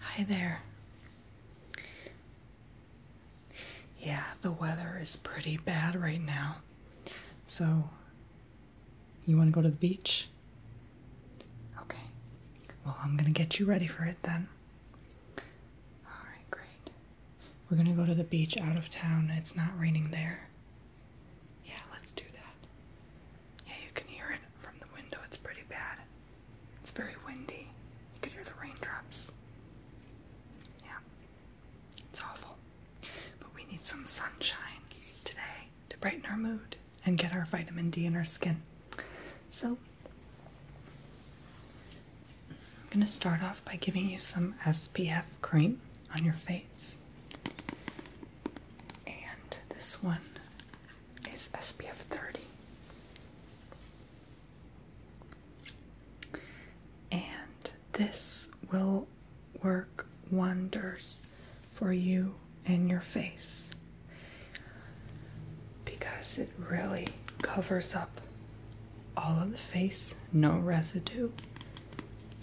Hi there. Yeah, the weather is pretty bad right now. So, you want to go to the beach? Okay. Well, I'm going to get you ready for it then. All right, great. We're going to go to the beach out of town. It's not raining there. Yeah, let's do that. Yeah, you can hear it from the window. It's pretty bad. It's very windy. You can hear the raindrops. Yeah, it's awful. But we need some sunshine today to brighten our mood and get our vitamin D in our skin. So, I'm going to start off by giving you some SPF cream on your face. And this one is SPF 30. And this will work wonders for you and your face because it really covers up all of the face, no residue,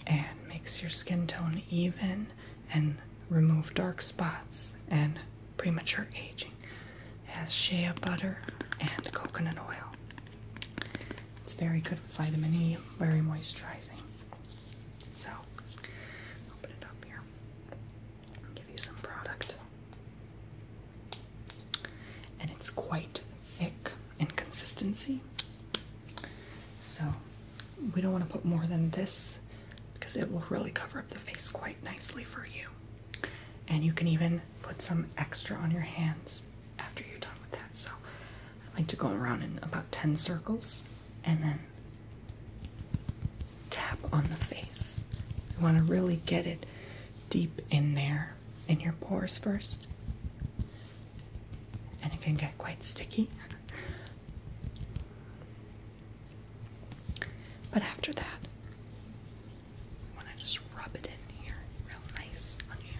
and makes your skin tone even and remove dark spots and premature aging. It has shea butter and coconut oil. It's very good with vitamin E, very moisturizing. So, open it up here. I'll give you some product. And it's quite thick in consistency. So, we don't want to put more than this because it will really cover up the face quite nicely for you. And you can even put some extra on your hands after you're done with that. So I like to go around in about 10 circles and then tap on the face. You want to really get it deep in there in your pores first. And it can get quite sticky. But after that, I just rub it in here real nice on you.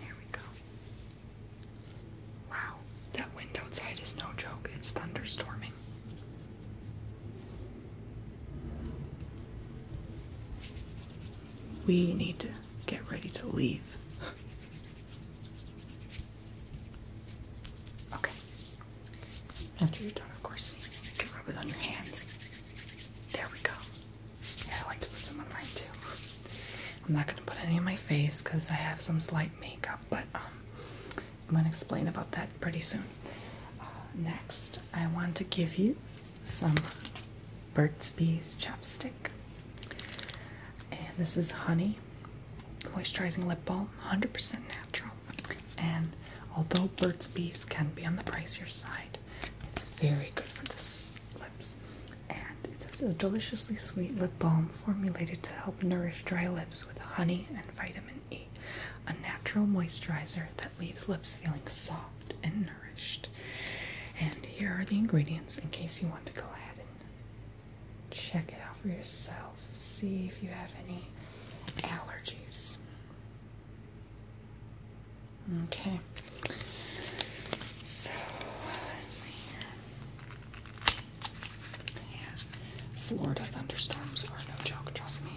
There we go. Wow, that wind outside is no joke, it's thunderstorming. We need to get ready to leave. Okay. After you're done, of course, you can rub it on your hands. There we go. I like to put some on mine too. I'm not gonna put any on my face because I have some slight makeup, but um, I'm gonna explain about that pretty soon. Uh, next, I want to give you some Burt's Bees chapstick. And this is Honey Moisturizing Lip Balm, 100% natural. And although Burt's Bees can be on the pricier side, it's very good for the lips. And it's a deliciously sweet lip balm formulated to help nourish dry lips with honey and vitamin E, a natural moisturizer that leaves lips feeling soft and nourished. And here are the ingredients in case you want to go ahead and check it out for yourself. See if you have any allergies. Okay. So let's see here. Yeah. Florida thunderstorms are no joke, trust me.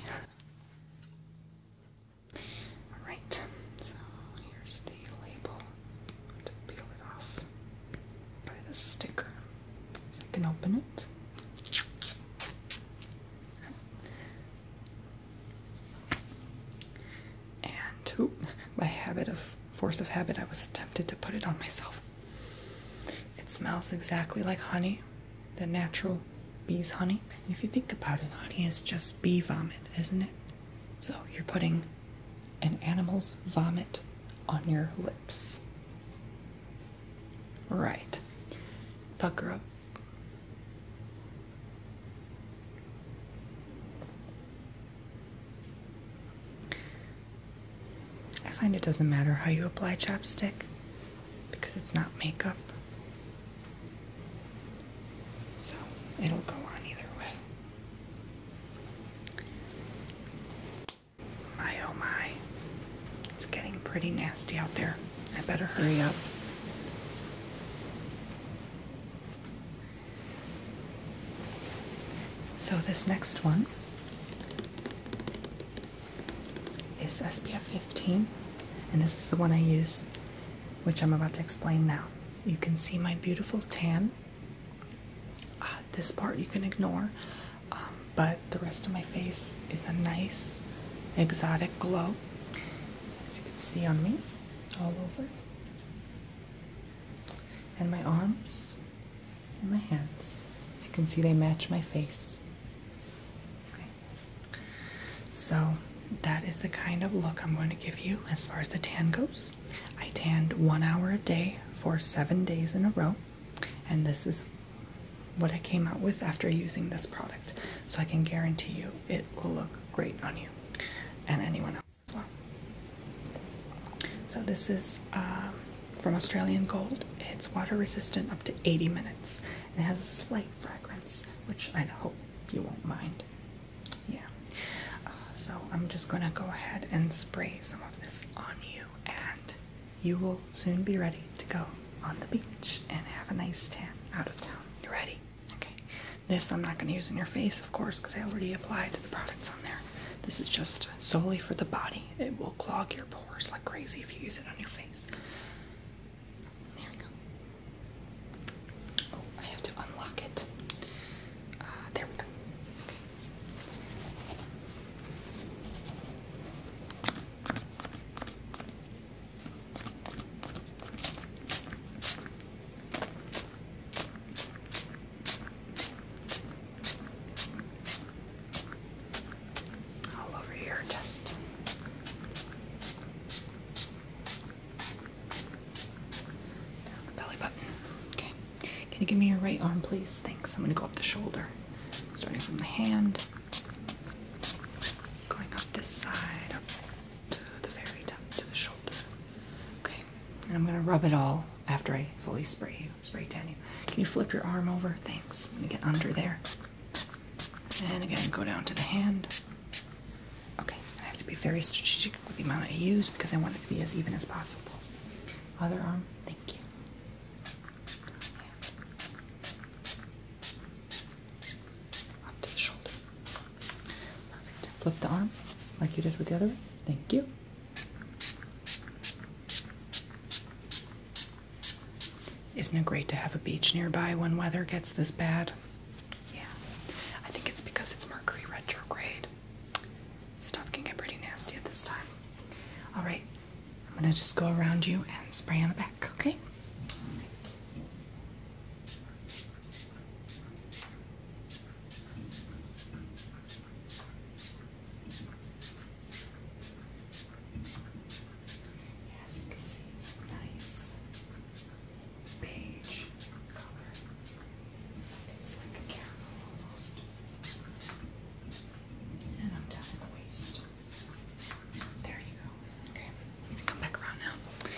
Alright, so here's the label to peel it off by the sticker. So I can open it. And by habit of force of habit, I was tempted to put it on myself. It smells exactly like honey, the natural bee's honey. If you think about it, honey is just bee vomit, isn't it? So you're putting an animal's vomit on your lips. Right. Pucker up. I find it doesn't matter how you apply chapstick because it's not makeup. So it'll go on either way. My oh my. It's getting pretty nasty out there. I better hurry up. So, this next one is SPF 15, and this is the one I use, which I'm about to explain now. You can see my beautiful tan uh, this part you can ignore, um, but the rest of my face is a nice exotic glow, as you can see on me, all over, and my arms and my hands. As you can see, they match my face. Okay. So that is the kind of look I'm going to give you as far as the tan goes. I tanned one hour a day for seven days in a row, and this is what I came out with after using this product. So I can guarantee you it will look great on you and anyone else as well. So this is um, from Australian Gold. It's water resistant up to 80 minutes, and it has a slight fragrance, which I hope you won't mind. Yeah. Uh, so I'm just gonna go ahead and spray some of this on you, and you will soon be ready to go on the beach and have a nice tan out of town. You ready? Okay. This I'm not gonna use on your face, of course, because I already applied the products on there. This is just solely for the body. It will clog your pores like crazy if you use it on your face. There we go. Oh, I have to unlock it. Uh, there we go. All over here, just the belly button. Okay. Can you give me your right arm, please? Thanks. I'm gonna go up the shoulder. Starting from the hand. Going up this side, up to the very top, to the shoulder. Okay. And I'm gonna rub it all after I fully spray you, spray down you. Can you flip your arm over? Thanks. I'm get under there. And again, go down to the hand. Okay, I have to be very strategic with the amount I use because I want it to be as even as possible. Other arm, thank you. Up to the shoulder. Perfect. Flip the arm like you did with the other one. Thank you. Isn't it great to have a beach nearby when weather gets this bad? Yeah. I think it's because it's Mercury retrograde. Stuff can get pretty nasty at this time. All right, I'm gonna just go around you and spray on the back, okay? Page color. It's like a caramel almost. And I'm down There you go. Okay, I'm gonna come back around now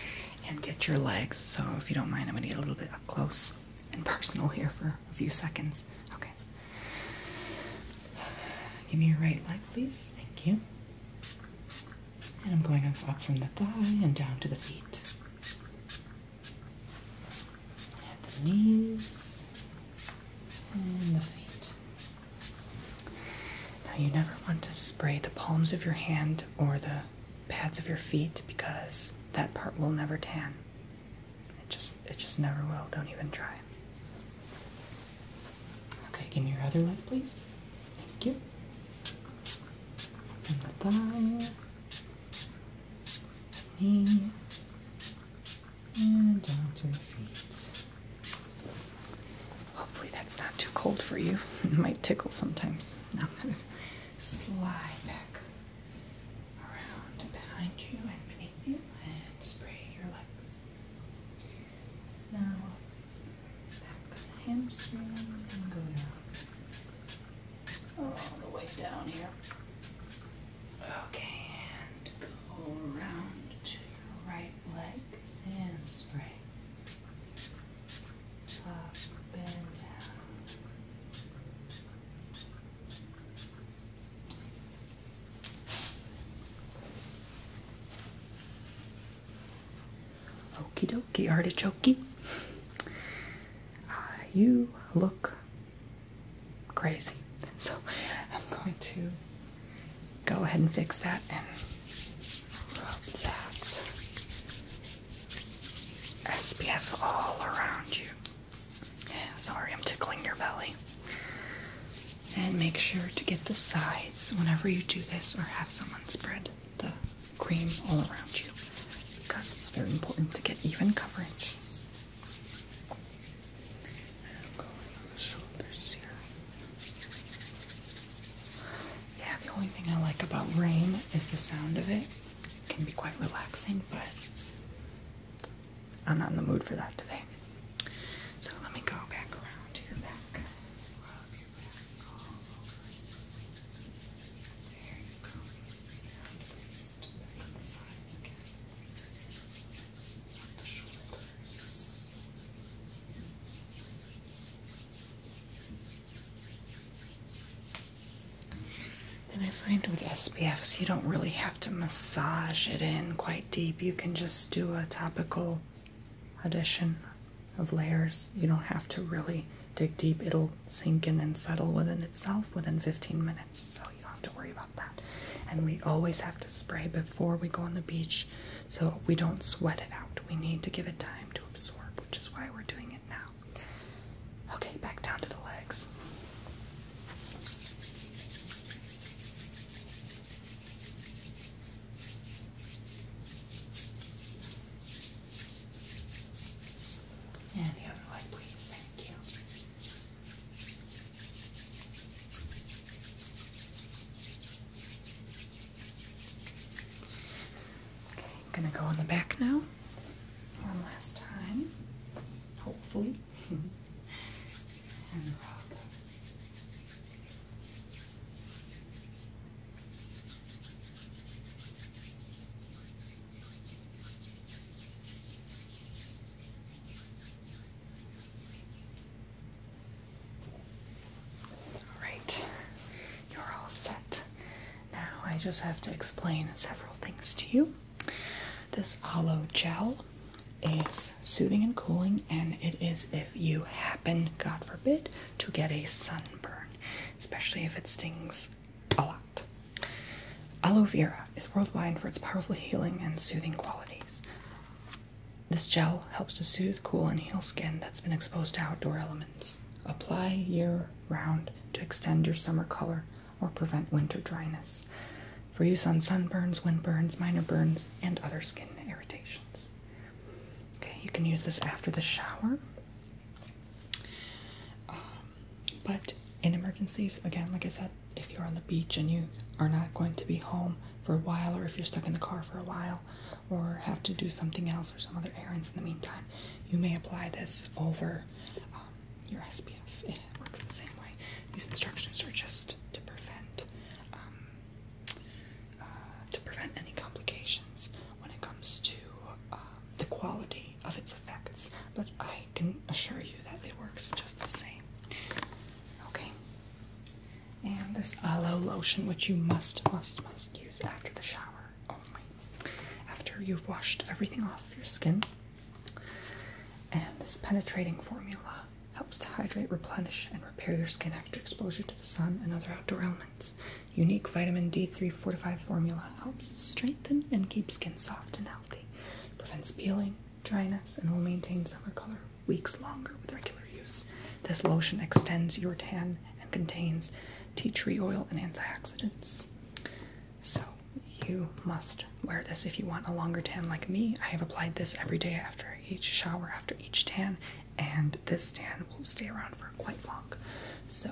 and get your legs. So if you don't mind, I'm gonna get a little bit up close and personal here for a few seconds. Okay. Give me your right leg, please. Thank you. And I'm going up from the thigh and down to the feet at the knees and the feet. Now, you never want to spray the palms of your hand or the pads of your feet because that part will never tan. It just it just never will. Don't even try. Okay, give me your other leg, please. Thank you. And the thigh me and down to the feet. Hopefully that's not too cold for you. It might tickle sometimes. I'm going to slide back around behind you and beneath you and spray your legs. Now, back of the hamstrings and go down. All the way down here. Okay, and go around to your right leg and spring. Up and down. Okie dokie, artichoke. Uh, you look crazy. So I'm going to go ahead and fix that and rub that SPF all around you. Sorry, I'm tickling your belly. And make sure to get the sides whenever you do this or have someone spread the cream all around you because it's very important to get even coverage. the Yeah, the only thing I like about rain is the sound of it. It can be quite relaxing, but I'm not in the mood for that today. So let me go back around to your back. And I find with SPFs, you don't really have to massage it in quite deep. You can just do a topical addition of layers. You don't have to really dig deep, it'll sink in and settle within itself within 15 minutes. So you don't have to worry about that. And we always have to spray before we go on the beach so we don't sweat it out. We need to give it time to absorb, which is why we're doing it now. Okay, back down to the legs. And the other one, please. Thank you. Okay, gonna go on the back now. One last time, hopefully. and rub. All right, you're all set. Now I just have to explain several things to you. This aloe gel is soothing and cooling, and it is if you happen, God forbid, to get a sunburn, especially if it stings a lot. Aloe vera is worldwide for its powerful healing and soothing qualities. This gel helps to soothe, cool, and heal skin that's been exposed to outdoor elements. Apply year round to extend your summer color or prevent winter dryness. For use on sunburns, windburns, minor burns, and other skin irritations. Okay, you can use this after the shower. Um, but in emergencies, again, like I said, if you're on the beach and you are not going to be home for a while, or if you're stuck in the car for a while, or have to do something else or some other errands in the meantime, you may apply this over um, your SPF. It works the same way. These instructions are just to prevent um, uh, to prevent any complications when it comes to uh, the quality of its effects. But I I can assure you that it works just the same. Okay. And this aloe lotion, which you must, must, must use after the shower only, after you've washed everything off your skin. And this penetrating formula helps to hydrate, replenish, and repair your skin after exposure to the sun and other outdoor elements. Unique vitamin D3 fortified formula helps strengthen and keep skin soft and healthy prevents peeling, dryness, and will maintain summer color weeks longer with regular use. This lotion extends your tan and contains tea tree oil and antioxidants. So, you must wear this if you want a longer tan like me. I have applied this every day after each shower, after each tan, and this tan will stay around for quite long. So,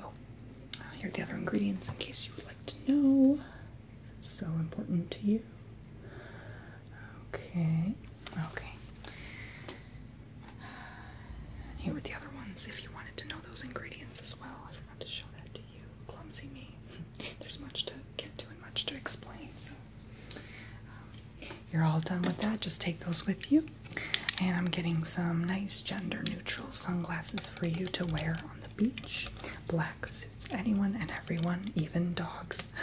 uh, here are the other ingredients in case you would like to know. It's so important to you. Okay, okay. here are the other ones if you wanted to know those ingredients as well. I forgot to show that to you. Clumsy me. There's much to get to and much to explain, so. Um, you're all done with that. Just take those with you. And I'm getting some nice gender neutral sunglasses for you to wear on the beach. Black suits anyone and everyone, even dogs.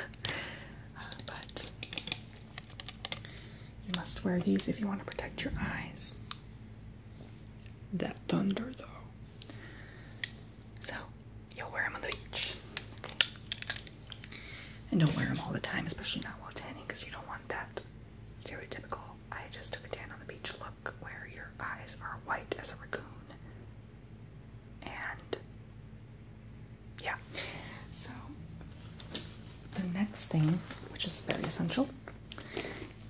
Uh, but you must wear these if you want to protect your eyes. That thunder, though. So, you'll wear them on the beach. And don't wear them all the time, especially not while tanning, because you don't want that stereotypical I just took a tan on the beach look where your eyes are white as a raccoon. And yeah. So the next thing, which is very essential,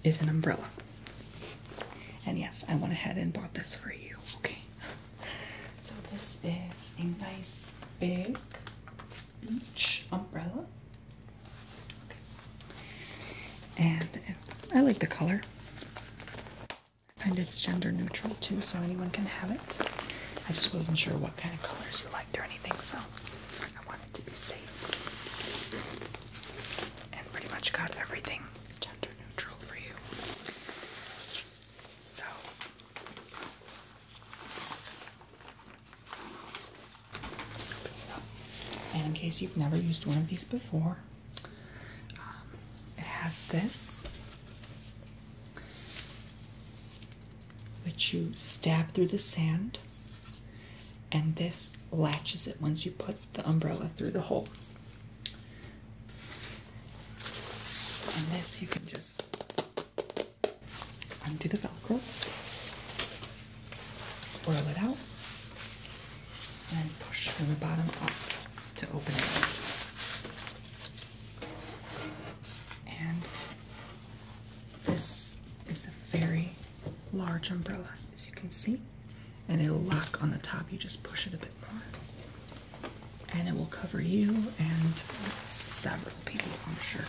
is an umbrella. And yes, I went ahead and bought this for you. Okay. So this is a nice big beach umbrella. And I like the color. I find it's gender neutral too, so anyone can have it. I just wasn't sure what kind of colors you liked or anything, so I wanted to be safe. And pretty much got everything gender neutral for you. So and in case you've never used one of these before, um, it has this, which you stab through the sand, and this latches it once you put the umbrella through the hole. And this you can just undo the velcro Swirl it out and push from the bottom up to open it. And this is a very large umbrella, as you can see, and it'll lock on the top. You just push it a bit more, and it will cover you and several people, I'm sure.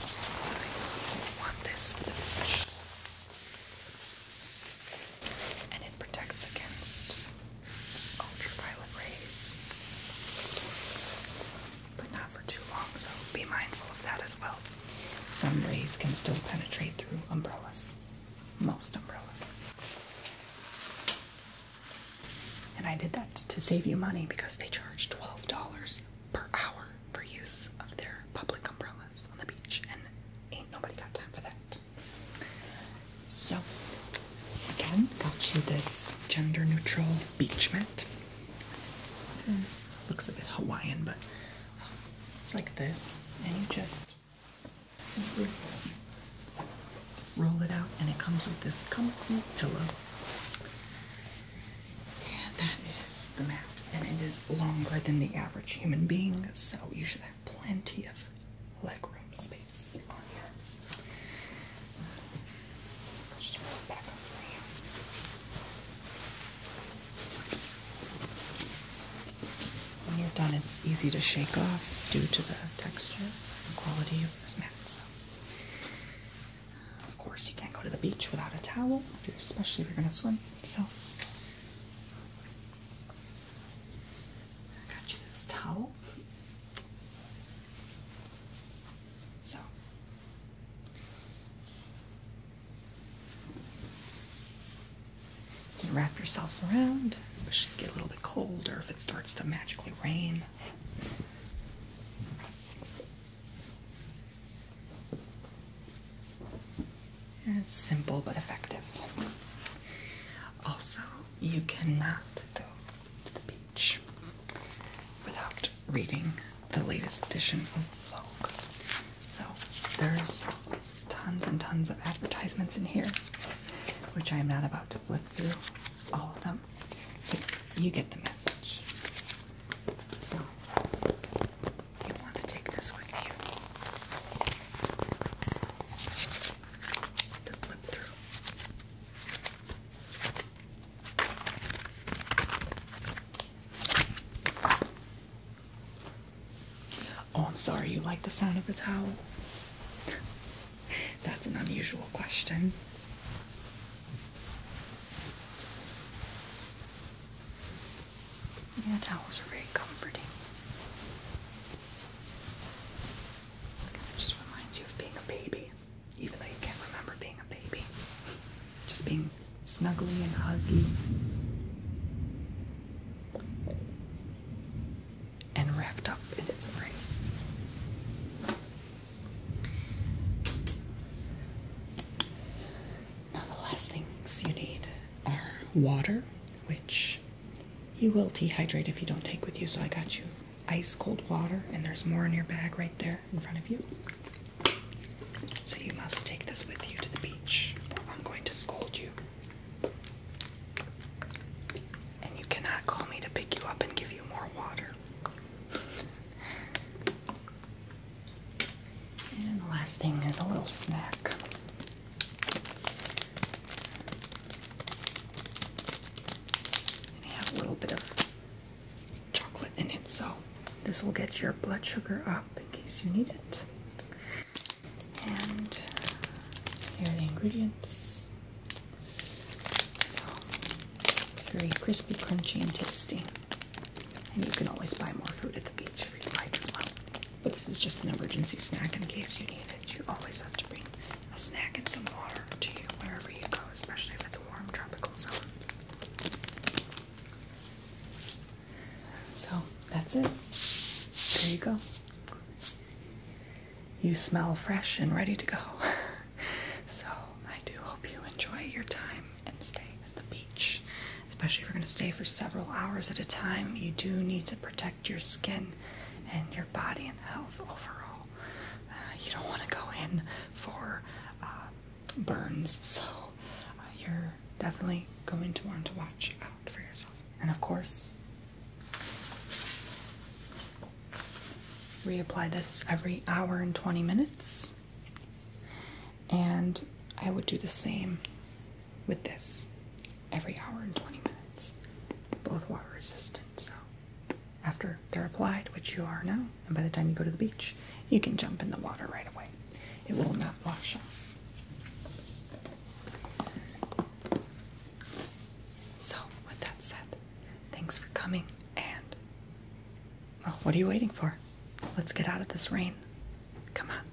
So, I want this and it protects against ultraviolet rays, but not for too long, so be mindful of that as well. Some rays can still penetrate through umbrellas, most umbrellas. And I did that to save you money because they charge $12 per hour for use of their public umbrellas on the beach, and ain't nobody got time for that. So, again, got you this gender neutral beach mat. Hmm. Looks a bit Hawaiian, but it's like this, and you just simply roll it out, and it comes with this comfy pillow. And that is the mat, and it is longer than the average human being, so you should have plenty of legroom space When you're done, it's easy to shake off due to the texture and quality of this mat. So. Of course, you can't go to the beach without a towel, especially if you're going to swim. So I got you this towel. So you can wrap yourself around, especially if you get a little bit colder, if it starts to magically rain it's simple but effective. Also, you cannot go to the beach without reading the latest edition of Vogue. So there's tons and tons of advertisements in here, which I am not about to flip through all of them. But you get the message. So you want to take this with you to flip through. Oh, I'm sorry, you like the sound of the towel? That's an unusual question. Yeah, towels are very comforting. It just reminds you of being a baby, even though you can't remember being a baby. Just being snuggly and huggy. And wrapped up in its embrace. Now, the last things you need are water, which you will dehydrate if you don't take with you. So I got you ice cold water, and there's more in your bag right there in front of you. So you must take this with you to the beach, I'm going to scold you. And you cannot call me to pick you up and give you more water. And the last thing is a little snack. it has a little bit of chocolate in it, so this will get your blood sugar up in case you need it. And here are the ingredients. So it's very crispy, crunchy, and tasty. And you can always buy more fruit at the beach if you like as well. But this is just an emergency snack in case you need it. You always have to bring a snack and some water to you wherever you go, especially if it's a warm tropical zone. So that's it. There you go. You smell fresh and ready to go. so I do hope you enjoy your time and stay the beach. Especially if you're going to stay for several hours at a time, you do need to protect your skin and your body and health overall. Uh, you don't want to go in for uh, burns, so uh, you're definitely going to want to watch out for yourself. And of course, reapply this every hour and 20 minutes and I would do the same with this every hour and 20 minutes. Both water resistant, so after they're applied, which you are now, and by the time you go to the beach, you can jump in the water right away. It will not wash off. So, with that said, thanks for coming and well, what are you waiting for? Let's get out of this rain. Come on.